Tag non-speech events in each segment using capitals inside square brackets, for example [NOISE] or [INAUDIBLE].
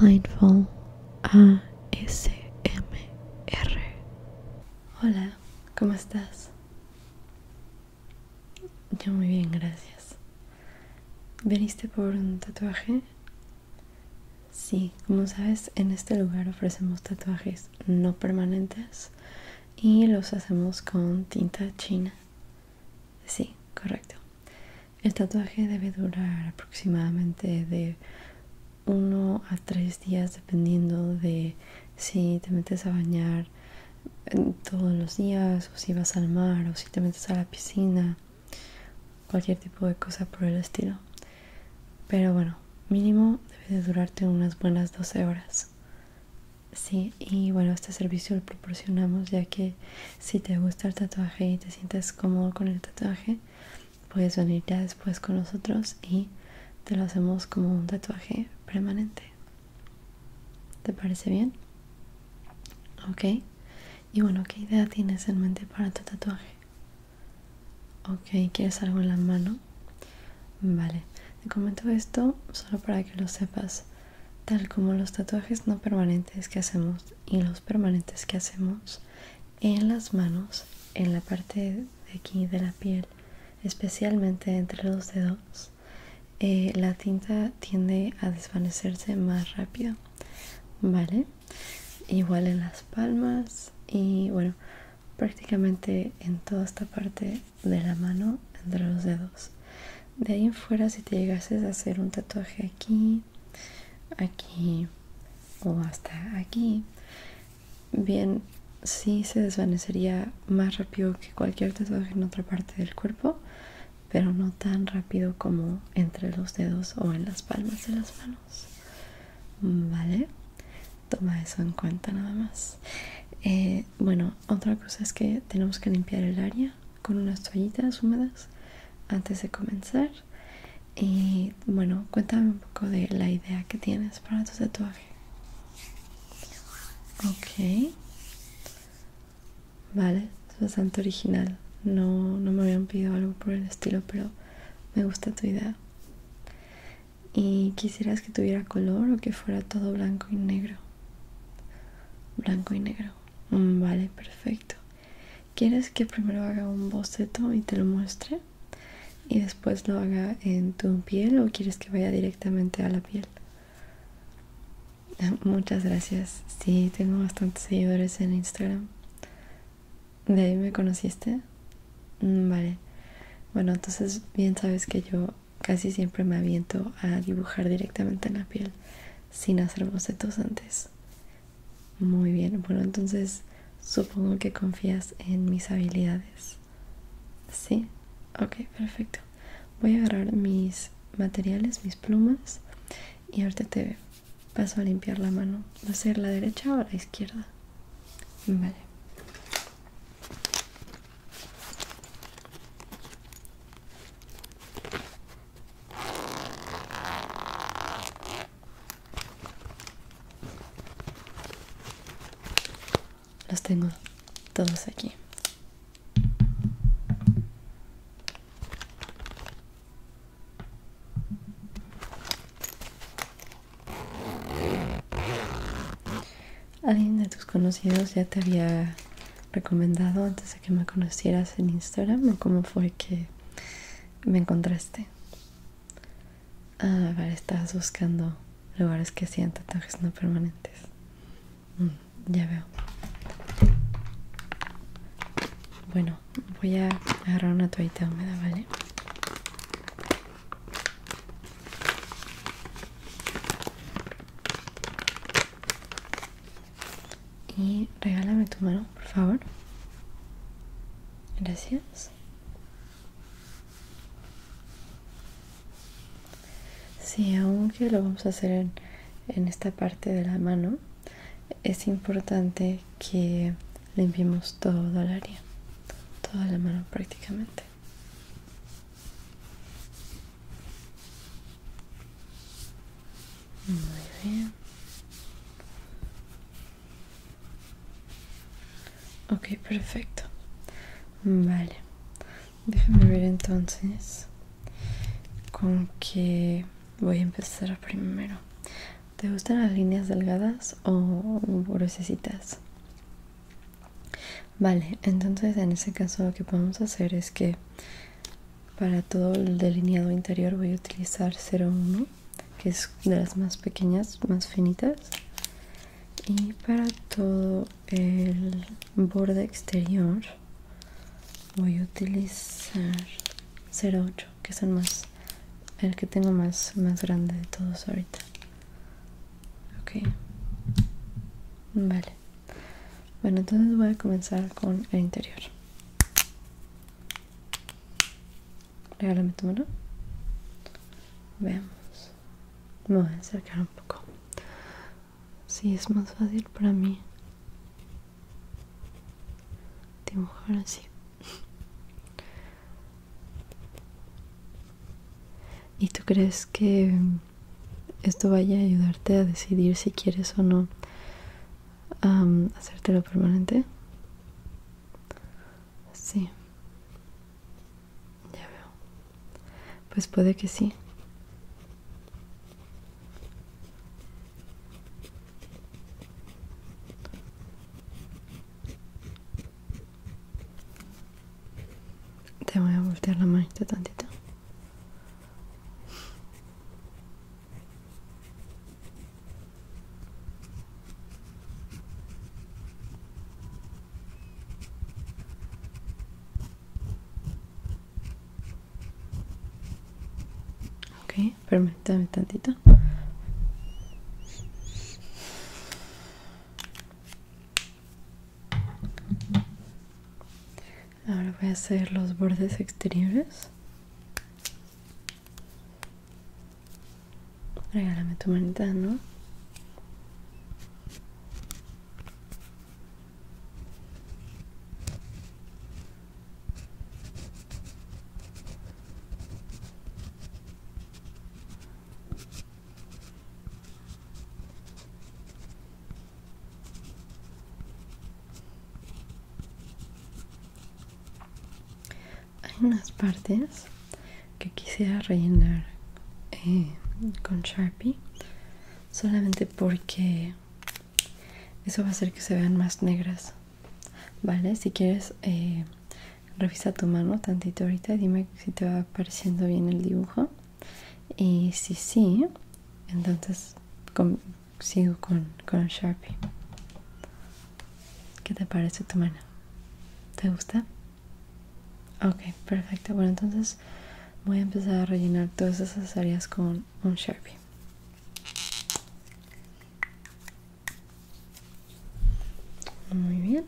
Mindful ASMR. Hola, ¿cómo estás? Yo muy bien, gracias. ¿Veniste por un tatuaje? Sí, como sabes, en este lugar ofrecemos tatuajes no permanentes y los hacemos con tinta china. Sí, correcto. El tatuaje debe durar aproximadamente de 1 a 3 días dependiendo de si te metes a bañar eh, todos los días o si vas al mar o si te metes a la piscina, cualquier tipo de cosa por el estilo. Pero bueno, mínimo debe durarte unas buenas 12 horas. Sí, y bueno, este servicio lo proporcionamos ya que si te gusta el tatuaje y te sientes cómodo con el tatuaje puedes venir ya después con nosotros y te lo hacemos como un tatuaje permanente ¿te parece bien? ok y bueno ¿qué idea tienes en mente para tu tatuaje? ok ¿quieres algo en la mano? vale te comento esto solo para que lo sepas tal como los tatuajes no permanentes que hacemos y los permanentes que hacemos en las manos, en la parte de aquí de la piel, especialmente entre los dedos, eh, la tinta tiende a desvanecerse más rápido, ¿vale? Igual en las palmas y bueno, prácticamente en toda esta parte de la mano entre los dedos de ahí en fuera si te llegases a hacer un tatuaje aquí aquí o hasta aquí bien sí se desvanecería más rápido que cualquier tatuaje en otra parte del cuerpo pero no tan rápido como entre los dedos o en las palmas de las manos vale toma eso en cuenta nada más eh, bueno otra cosa es que tenemos que limpiar el área con unas toallitas húmedas antes de comenzar. Y bueno, cuéntame un poco de la idea que tienes para tu tatuaje. Ok. Vale, es bastante original. No, no me habían pedido algo por el estilo, pero me gusta tu idea. ¿Y quisieras que tuviera color o que fuera todo blanco y negro? Blanco y negro. Mm, vale, perfecto. ¿Quieres que primero haga un boceto y te lo muestre? Y después lo haga en tu piel o quieres que vaya directamente a la piel? [LAUGHS] Muchas gracias. Sí, tengo bastantes seguidores en Instagram. ¿De ahí me conociste? Mm, vale. Bueno, entonces bien sabes que yo casi siempre me aviento a dibujar directamente en la piel sin hacer bocetos antes. Muy bien, bueno, entonces supongo que confías en mis habilidades. Sí, ok, perfecto. Voy a agarrar mis materiales, mis plumas y ahorita te paso a limpiar la mano. ¿Va a ser la derecha o la izquierda? Vale. Los tengo todos aquí. Alguien de tus conocidos ya te había recomendado antes que me conocieras en Instagram o cómo fue que me encontraste? Ah, a estabas buscando lugares que hacían tatuajes no permanentes. Mm, ya veo. Bueno, voy a agarrar una toallita húmeda, ¿vale? Y regálame tu mano, por favor. Gracias. si aunque lo vamos a hacer en, en esta parte de la mano, es importante que limpiemos todo el área, toda la mano prácticamente. Muy bien. Ok, perfecto. Vale. Déjame ver entonces con qué voy a empezar primero. ¿Te gustan las líneas delgadas o gruesas? Vale, entonces en ese caso lo que podemos hacer es que para todo el delineado interior voy a utilizar 01, que es de las más pequeñas, más finitas. Y para todo el borde exterior voy a utilizar 08, que es el, más, el que tengo más, más grande de todos ahorita. Vale bueno entonces voy a comenzar con el interior regálame tu mano veamos me voy a acercar un poco si sí, es más fácil para mí dibujar así y tú crees que esto vaya a ayudarte a decidir si quieres o no hacértelo permanente. Sí. Ya veo. Pues puede que sí. Te voy a voltear la manita tantito. Ok, permíteme tantito. Ahora voy a hacer los bordes exteriores. Regálame tu manita, ¿no? Hay unas partes que quisiera rellenar eh, con Sharpie solamente porque eso va a hacer que se vean más negras. Vale, si quieres eh, revisa tu mano tantito ahorita y dime si te va pareciendo bien el dibujo. Y si sí, entonces sigo con, con Sharpie. ¿Qué te parece tu mano? ¿Te gusta? Ok, perfecto. Bueno, entonces voy a empezar a rellenar todas esas áreas con un Sharpie. Muy bien.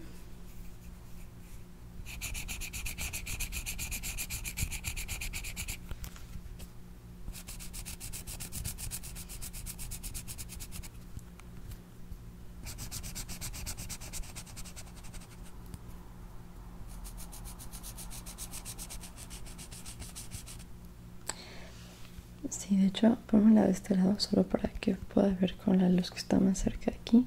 Sí, de hecho, ponme la de este lado solo para que puedas ver con la luz que está más cerca de aquí.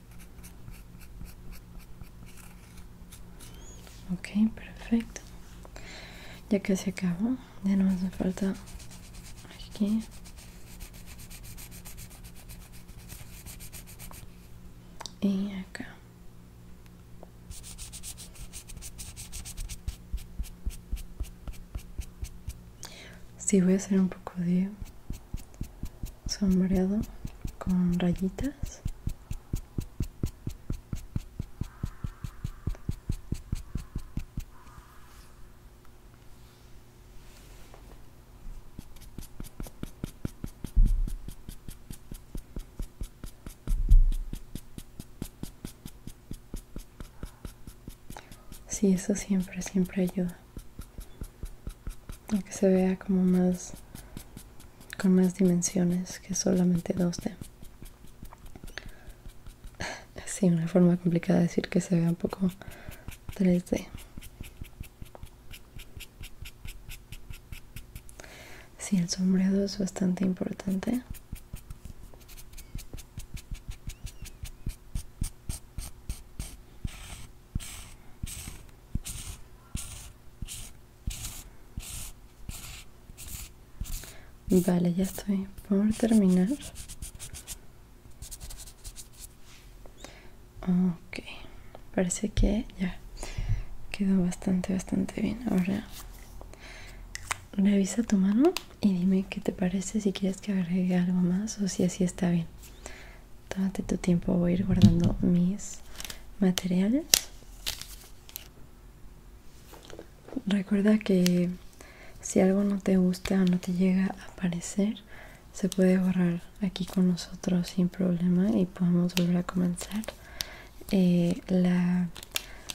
ok perfecto ya que se acabó ya no hace falta aquí y acá si sí, voy a hacer un poco de sombreado con rayitas Sí, eso siempre, siempre ayuda. Aunque que se vea como más con más dimensiones que solamente 2D sí una forma complicada de decir que se vea un poco 3D sí el sombreado es bastante importante Vale, ya estoy por terminar. Ok, parece que ya quedó bastante, bastante bien. Ahora revisa tu mano y dime qué te parece, si quieres que agregue algo más o si así está bien. Tómate tu tiempo, voy a ir guardando mis materiales. Recuerda que si algo no te gusta o no te llega a aparecer, se puede borrar aquí con nosotros sin problema y podemos volver a comenzar. Eh, la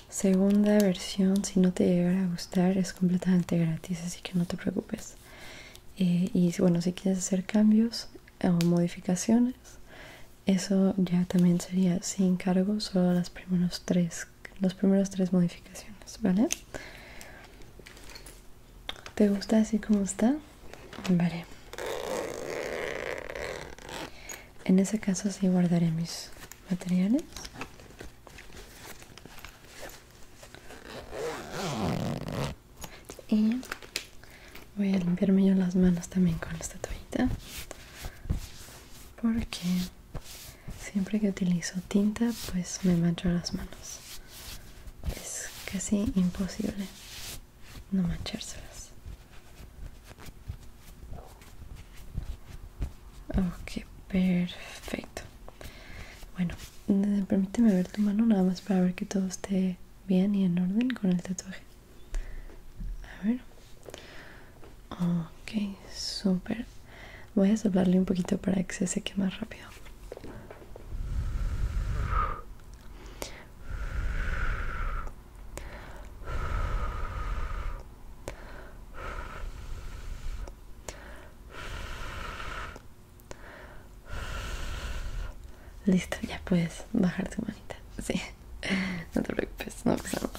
segunda versión, si no te llegara a gustar, es completamente gratis, así que no te preocupes. Eh, y bueno si quieres hacer cambios o modificaciones eso ya también sería sin cargo solo las primeros tres las primeras tres modificaciones vale te gusta así como está vale en ese caso sí guardaré mis materiales y voy a limpiarme yo las manos también con esta toallita. Porque siempre que utilizo tinta, pues me mancho las manos. Es casi imposible no manchárselas. Ok, perfecto. Bueno, Permíteme ver tu mano nada más para ver que todo esté bien y en orden con el tatuaje. A ver. Ok, súper. Voy a soplarle un poquito para que se seque más rápido. Listo, ya puedes bajar tu manita. Sí, [LAUGHS] no te preocupes, no pasa nada.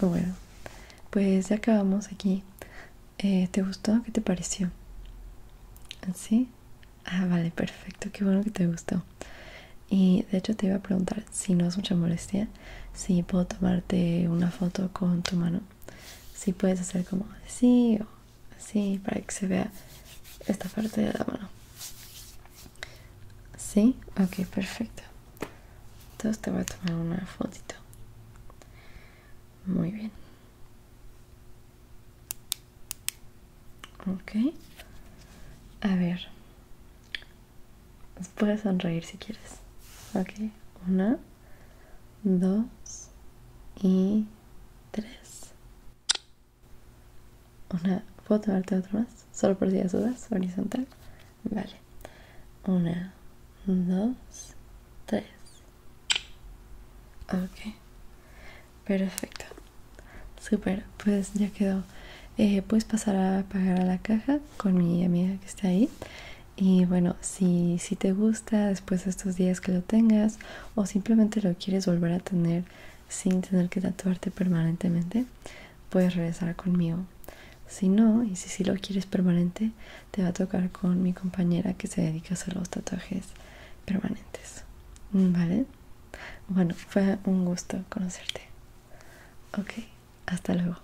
Bueno, pues ya acabamos aquí. Eh, ¿Te gustó? ¿Qué te pareció? ¿así? Ah, vale, perfecto. Qué bueno que te gustó. Y de hecho te iba a preguntar si no es mucha molestia, si puedo tomarte una foto con tu mano si puedes hacer como así o así para que se vea esta parte de la mano. ¿Sí? Ok, perfecto. Entonces te voy a tomar una fotito. Muy bien. Ok. A ver. Puedes sonreír si quieres. Ok. Una dos y tres, Una, foto tomarte otro más? Solo por si las horizontal. Vale. Una, dos, tres. Ok. Perfecto. Super. Pues ya quedó. Pues puedes pasar a pagar a la caja con mi amiga que está ahí. Y bueno, si, te gusta después de estos días que lo tengas o simplemente lo quieres volver a tener sin tener que tatuarte permanentemente, puedes regresar conmigo. Si no, y si sí lo quieres permanente, te va a tocar con mi compañera que se dedica a hacer los tatuajes permanentes. ¿Vale? Bueno, fue un gusto conocerte. Ok, hasta luego.